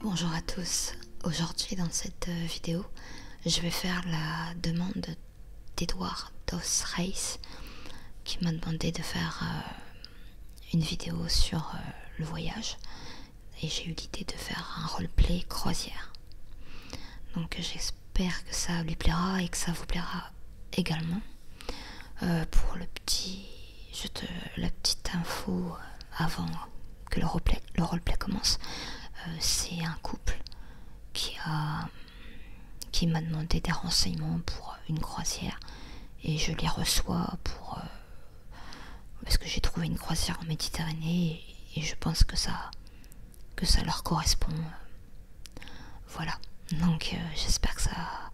Bonjour à tous, aujourd'hui dans cette euh, vidéo je vais faire la demande d'Edouard Dos Reis qui m'a demandé de faire euh, une vidéo sur euh, le voyage et j'ai eu l'idée de faire un roleplay croisière. Donc j'espère que ça lui plaira et que ça vous plaira également. Euh, pour le petit, je te, euh, la petite info avant que le roleplay, le commence, c'est un couple qui a qui m'a demandé des renseignements pour une croisière et je les reçois pour euh, parce que j'ai trouvé une croisière en Méditerranée et, je pense que ça que ça leur correspond voilà donc euh, j'espère que ça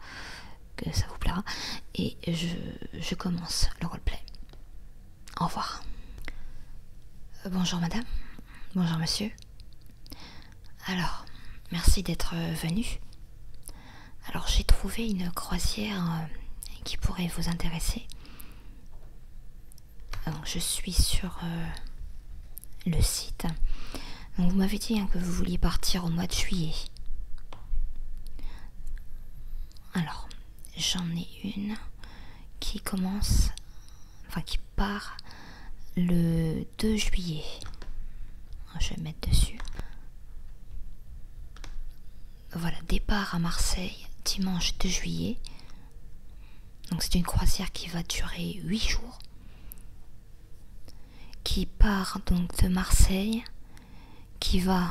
que ça vous plaira et je, commence le roleplay au revoir euh, bonjour madame bonjour monsieur alors merci d'être venu alors j'ai trouvé une croisière euh, qui pourrait vous intéresser. je suis sur euh, le site. vous m'avez dit hein, que vous vouliez partir au mois de juillet. Alors, j'en ai une qui commence, enfin qui part le 2 juillet je vais mettre dessus. Voilà, départ à Marseille, dimanche 2 juillet. Donc c'est une croisière qui va durer 8 jours. Qui part donc de Marseille, qui va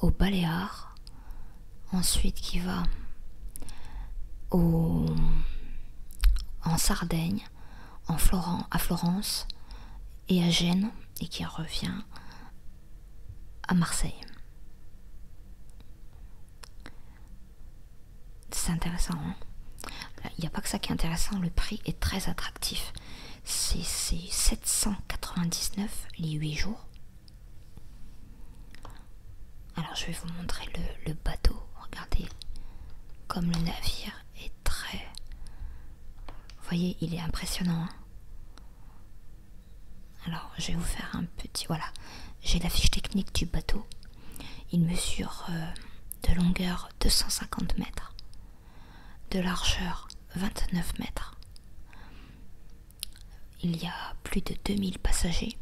au Baléares, ensuite qui va en Sardaigne, en Florent, à Florence et à Gênes et qui revient à Marseille. C'est intéressant. Hein. Il n'y a pas que ça qui est intéressant, le prix est très attractif. C'est 799 les 8 jours. Alors je vais vous montrer le, le bateau, regardez, comme le navire est très... Vous voyez, il est impressionnant. Hein. Alors, je vais vous faire un petit... Voilà, j'ai la fiche technique du bateau. Il mesure euh, de longueur 250 mètres, de largeur 29 mètres. Il y a plus de 2000 passagers.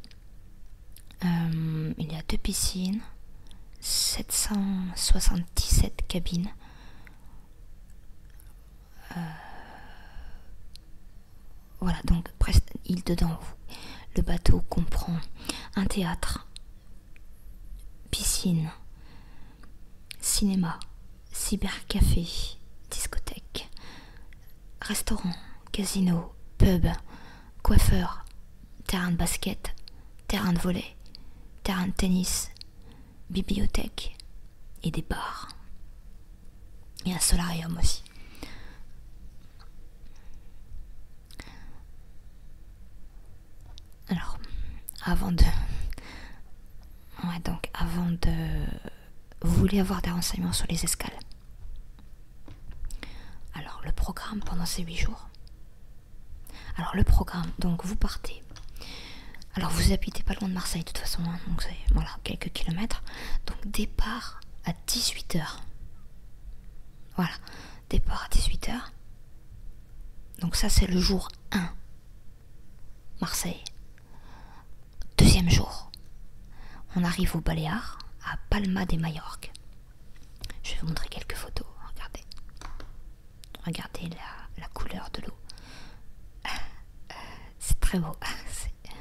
Euh, il y a deux piscines, 777 cabines, euh, voilà, donc il dedans. Le bateau comprend un théâtre, piscine, cinéma, cybercafé, discothèque, restaurant, casino, pub, coiffeur, terrain de basket, terrain de volet, terrain de tennis, bibliothèque et des bars. Et un solarium aussi. Alors, avant de... Ouais, donc avant de... Vous voulez avoir des renseignements sur les escales Alors, le programme pendant ces huit jours, alors le programme, donc vous partez. Alors vous habitez pas loin de Marseille de toute façon, hein, donc voilà, quelques kilomètres. Donc départ à 18h. Voilà, départ à 18h. Donc ça c'est le jour 1. Marseille. Deuxième jour. On arrive au Baléares, à Palma des mallorques Je vais vous montrer quelques photos, regardez. Regardez la, couleur de l'eau. Euh, euh, c'est très beau. Euh,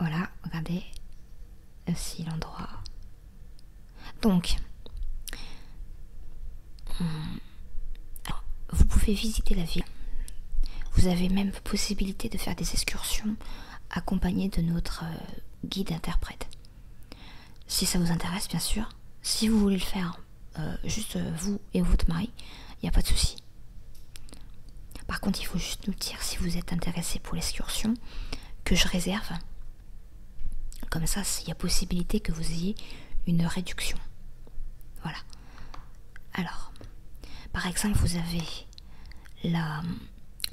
voilà, regardez aussi l'endroit. Donc, hmm, vous pouvez visiter la ville. Vous avez même possibilité de faire des excursions accompagnées de notre guide interprète. Si ça vous intéresse, bien sûr. Si vous voulez le faire, euh, juste euh, vous et votre mari, il n'y a pas de souci. Par contre, il faut juste nous dire si vous êtes intéressé pour l'excursion que je réserve. Comme ça, il y a possibilité que vous ayez une réduction. Voilà. Alors, par exemple, vous avez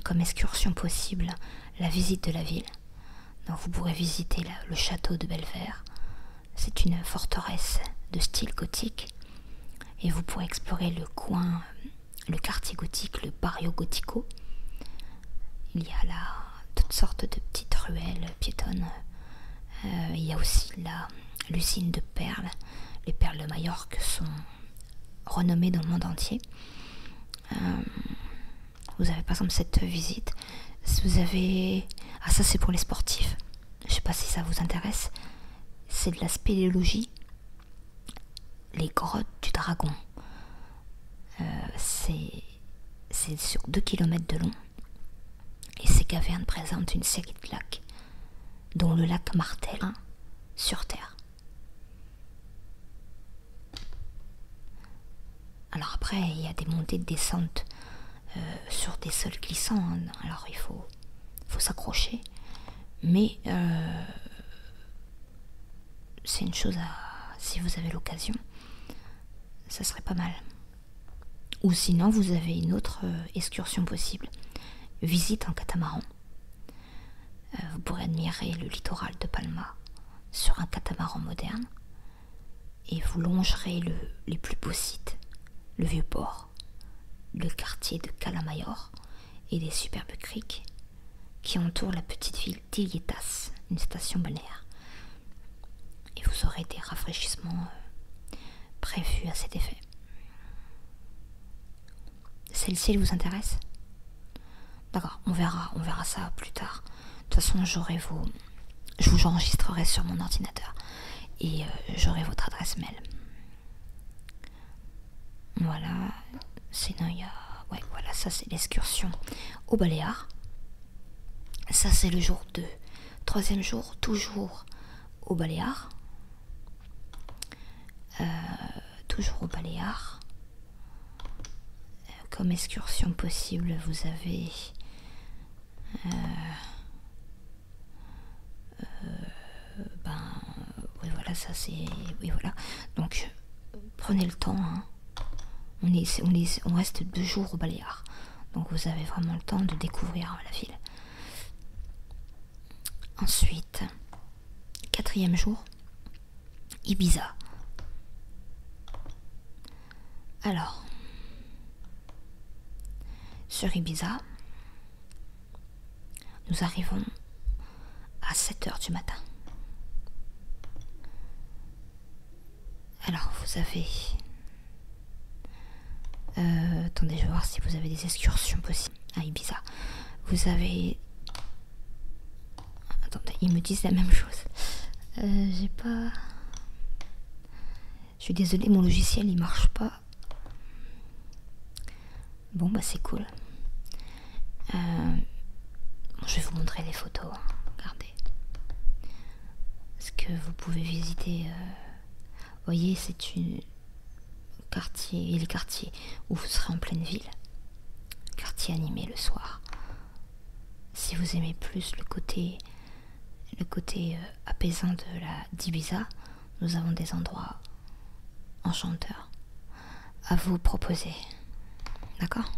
comme excursion possible la visite de la ville, vous pourrez visiter le château de Belver. C'est une forteresse de style gothique et vous pourrez explorer le coin, le quartier gothique, le barrio gothico. Il y a là toutes sortes de petites ruelles piétonnes. Euh, il y a aussi là l'usine de perles. Les perles de Majorque sont renommées dans le monde entier. Euh, vous avez par exemple cette visite. vous avez. Ah, ça c'est pour les sportifs. Je sais pas si ça vous intéresse. C'est de la spéléologie. Les grottes du dragon. Euh, c'est sur 2 km de long. Et ces cavernes présentent une série de lacs, dont le lac Martel sur Terre. Alors après, il y a des montées de descente euh, sur des sols glissants. Hein. Alors il faut, s'accrocher. Mais euh, c'est une chose à... Si vous avez l'occasion, ça serait pas mal. Ou sinon, vous avez une autre euh, excursion possible. Visite en catamaran. vous pourrez admirer le littoral de Palma sur un catamaran moderne et vous longerez les plus beaux sites, le vieux port, le quartier de Calamayor et les superbes criques qui entourent la petite ville d'Ilietas, une station balnéaire. Et vous aurez des rafraîchissements euh, prévus à cet effet. Celle-ci, vous intéresse D'accord, on verra, on verra ça plus tard. De toute façon, j'aurai Je vous enregistrerai sur mon ordinateur et euh, j'aurai votre adresse mail. Voilà. C'est voilà, ça c'est l'excursion au Baléares. Ça c'est le jour 2. Troisième jour, toujours au Baléares. Euh, toujours au Baléares. Comme excursion possible, vous avez... Euh, euh, ben, oui voilà, ça c'est... Oui voilà. Donc, prenez le temps. Hein. On, reste deux jours au Baléares. Donc vous avez vraiment le temps de découvrir la ville. Ensuite, quatrième jour, Ibiza. Alors, sur Ibiza, nous arrivons à 7 heures du matin. Alors, vous avez... Euh, attendez, je vais voir si vous avez des excursions possibles à Ibiza. Vous avez Attendez, ils me disent la même chose. Euh, j'ai pas. Je suis désolée, mon logiciel il marche pas. Bon, bah c'est cool. Euh, je vais vous montrer les photos. Hein. Regardez. Est-ce que vous pouvez visiter. Euh, voyez, c'est une quartier et le quartier où vous serez en pleine ville. Quartier animé le soir si vous aimez plus le côté le côté euh, apaisant de la d'Ibiza, nous avons des endroits enchanteurs à vous proposer. D'accord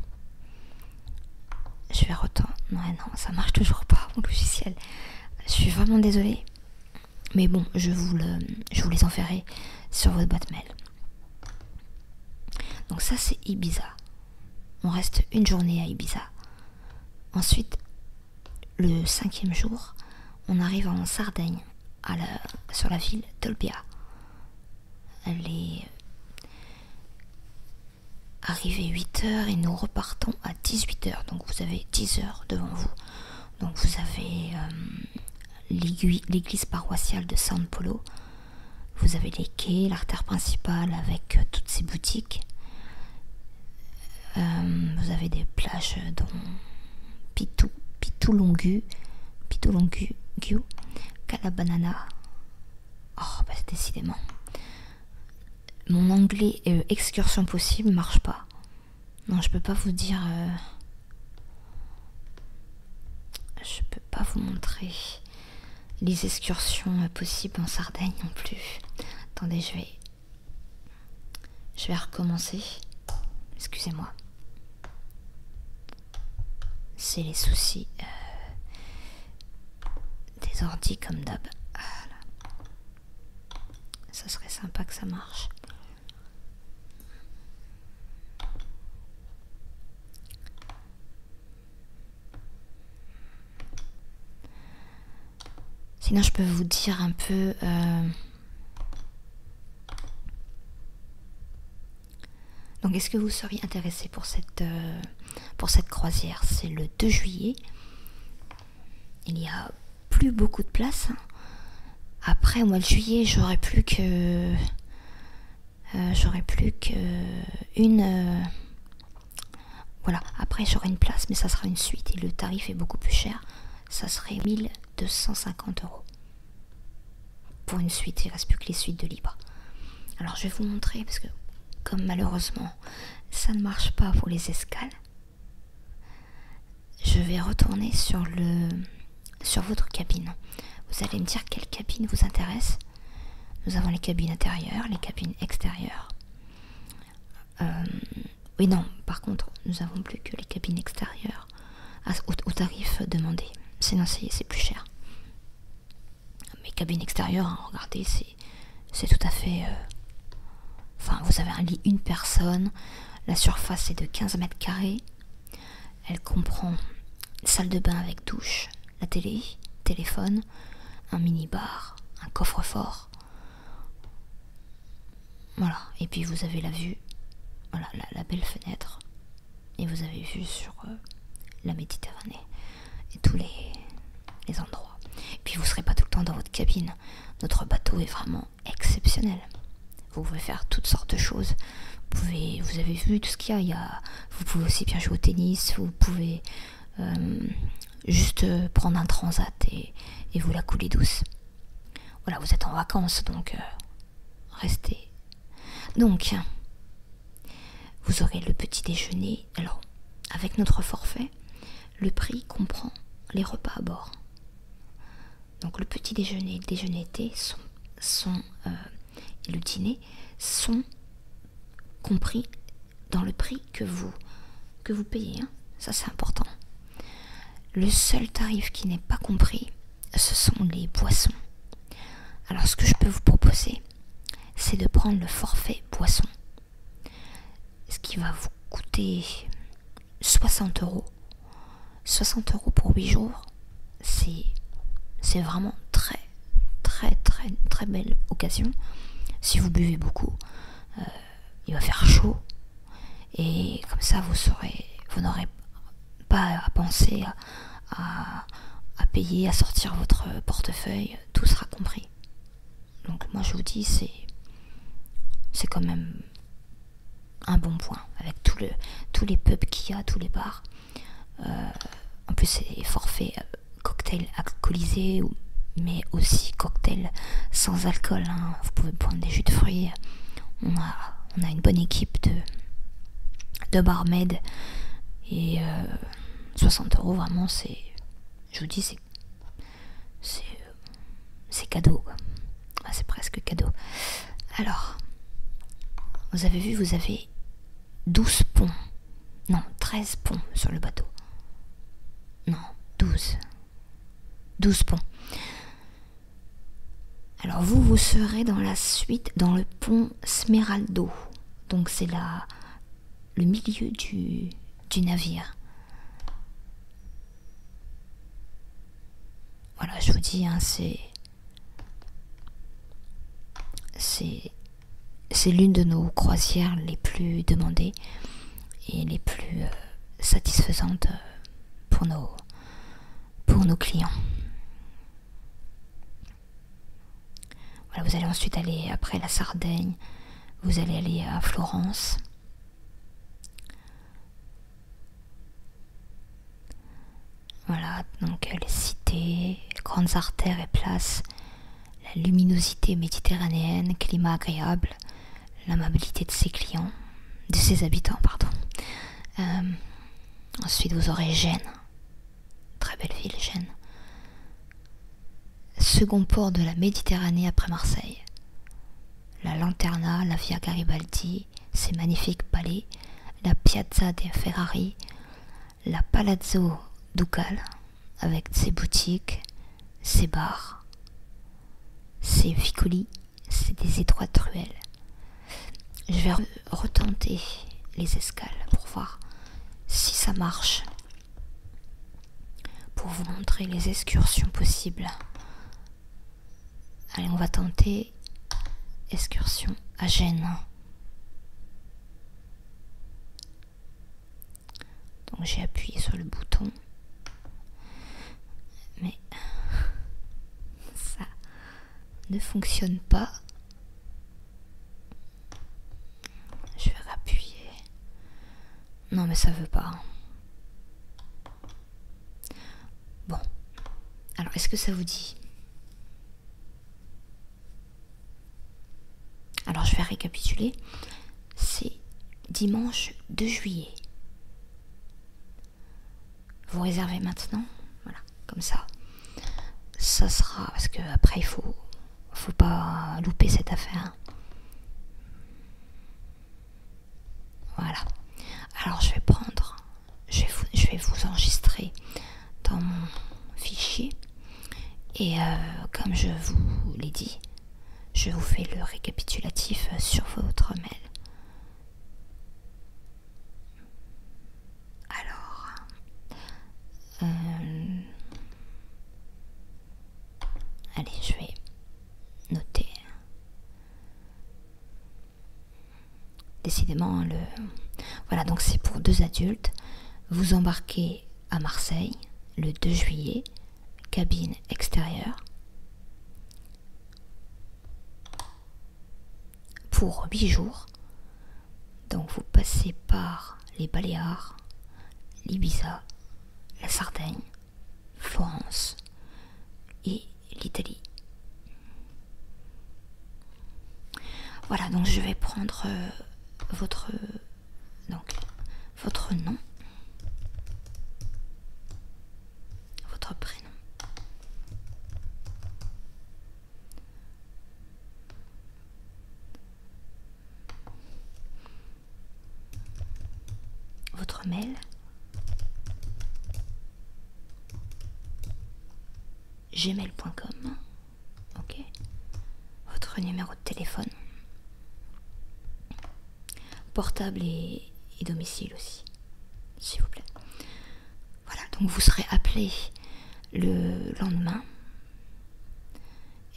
Je vais retourner. Non, non, ça marche toujours pas, mon logiciel. Je suis vraiment désolée. Mais bon, je vous, je vous les enverrai sur votre boîte mail. Donc ça, c'est Ibiza. On reste une journée à Ibiza. Ensuite, le cinquième jour, on arrive en Sardaigne, sur la ville d'Olbia. est arrivée 8h et nous repartons à 18h, donc vous avez 10 h devant vous. Donc vous avez euh, l'église paroissiale de San Polo, vous avez les quais, l'artère principale avec euh, toutes ces boutiques. Euh, vous avez des plages dont Pitou, Pitou Longu, Pitou Longu, banana. Oh, bah décidément. Mon anglais euh, excursion possible marche pas. Non, je peux pas vous dire. Je peux pas vous montrer les excursions euh, possibles en Sardaigne non plus. Attendez, je vais... Je vais recommencer. Excusez-moi. C'est les soucis euh, des ordi comme d'hab. Ça serait sympa que ça marche. Sinon, je peux vous dire un peu... Euh, donc, est-ce que vous seriez intéressé pour cette, euh, pour cette croisière C'est le 2 juillet. Il n'y a plus beaucoup de place. Hein. Après, au mois de juillet, j'aurais plus que euh, j'aurai plus qu'une. une euh, voilà, après j'aurai une place, mais ça sera une suite et le tarif est beaucoup plus cher. Ça serait 1250 euros pour une suite. Il reste plus que les suites de libre. Alors je vais vous montrer parce que, comme malheureusement ça ne marche pas pour les escales, je vais retourner sur le sur votre cabine. Vous allez me dire quelle cabine vous intéresse. Nous avons les cabines intérieures, les cabines extérieures. Euh, oui, non, par contre, nous n'avons plus que les cabines extérieures au, tarif demandé. Sinon, c'est plus cher. Mais cabines extérieure, hein, regardez, c'est tout à fait. Euh, enfin, vous avez un lit, une personne. La surface est de 15 mètres carrés. Elle comprend salle de bain avec douche, la télé, téléphone, un mini-bar, un coffre-fort. Voilà, et puis vous avez la vue, voilà, la, belle fenêtre, et vous avez vu sur euh, la Méditerranée et tous les, les endroits. Et puis vous ne serez pas tout le temps dans votre cabine. Notre bateau est vraiment exceptionnel. Vous pouvez faire toutes sortes de choses. Vous, avez vu tout ce qu'il y a, Vous pouvez aussi bien jouer au tennis, vous pouvez euh, juste prendre un transat et, vous la couler douce. Voilà, vous êtes en vacances, donc euh, restez. Donc, vous aurez le petit déjeuner. Alors, avec notre forfait, le prix comprend les repas à bord. Donc, le petit déjeuner et le déjeuner été sont, euh, et le dîner sont compris dans le prix que vous, payez. Hein. Ça c'est important. Le seul tarif qui n'est pas compris, ce sont les boissons. Alors ce que je peux vous proposer, c'est de prendre le forfait boisson. Ce qui va vous coûter 60 euros. 60 euros pour 8 jours c'est vraiment très très très très belle occasion. Si vous buvez beaucoup, euh, il va faire chaud et comme ça vous vous n'aurez pas à penser à, payer, à sortir votre portefeuille, tout sera compris. Donc moi je vous dis c'est quand même un bon point avec tous les pubs qu'il y a, tous les bars. Euh, en plus, c'est forfait euh, cocktail alcoolisé, mais aussi cocktail sans alcool. Hein. Vous pouvez prendre des jus de fruits. On a, une bonne équipe de, de barmaids. Et 60 euh, euros, vraiment, c'est. Je vous dis, c'est. C'est cadeau. c'est presque cadeau. Alors, vous avez vu, vous avez 12 ponts. Non, 13 ponts sur le bateau. Non, 12. 12 ponts. Alors vous, vous serez dans la suite, dans le pont Smeraldo. Donc c'est là le milieu du, navire. Voilà, je vous dis, hein, c'est c'est l'une de nos croisières les plus demandées et les plus euh, satisfaisantes euh, pour nos, clients. vous allez ensuite aller après la Sardaigne, vous allez aller à Florence. Voilà, donc les cités, grandes artères et places, la luminosité méditerranéenne, climat agréable, l'amabilité de ses clients, de ses habitants, pardon. Euh, ensuite, vous aurez Gênes, très belle ville, Gênes. Second port de la Méditerranée après Marseille. La Lanterna, la Via Garibaldi, ses magnifiques palais, la Piazza dei Ferrari, la Palazzo ducal avec ses boutiques, ses bars, ses vicolis, c'est des étroites ruelles. Je vais retenter les escales pour voir si ça marche. Pour vous montrer les excursions possibles. Allez, on va tenter excursion à Gênes. Donc j'ai appuyé sur le bouton. Mais ça ne fonctionne pas. Je vais appuyer. Non mais ça veut pas. Hein. Bon. Alors est-ce que ça vous dit alors je vais récapituler. C'est dimanche 2 juillet. Vous réservez maintenant, voilà, comme ça. Ça sera parce qu'après il faut, faut pas louper cette affaire. Voilà. Alors je vais prendre je vais, vous, enregistrer dans mon fichier et euh, comme je vous l'ai dit, je vous fais le récapitulatif euh, sur votre mail. Alors, euh, allez, je vais noter. Décidément, hein, le... Voilà, donc c'est pour deux adultes. Vous embarquez à Marseille le 2 juillet, cabine extérieure, pour huit jours. Donc vous passez par les Baléares, l'Ibiza, la Sardaigne, france et l'Italie. Voilà, donc je vais prendre euh, votre, votre nom, votre prénom. Votre mail. gmail.com Ok. Votre numéro de téléphone. Portable et, domicile aussi. S'il vous plaît. Voilà, donc vous serez appelé le lendemain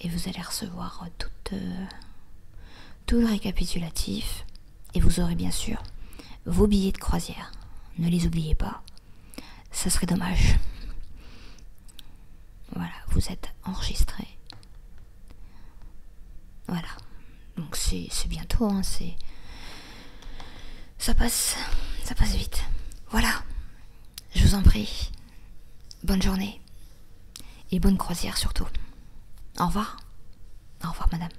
et vous allez recevoir euh, tout le récapitulatif et vous aurez bien sûr vos billets de croisière. Ne les oubliez pas ça serait dommage. Voilà, vous êtes enregistré. Voilà, donc c'est bientôt, hein, c'est. Ça passe, ça passe vite. Voilà, je vous en prie. Bonne journée et bonne croisière surtout. Au revoir. Au revoir, madame.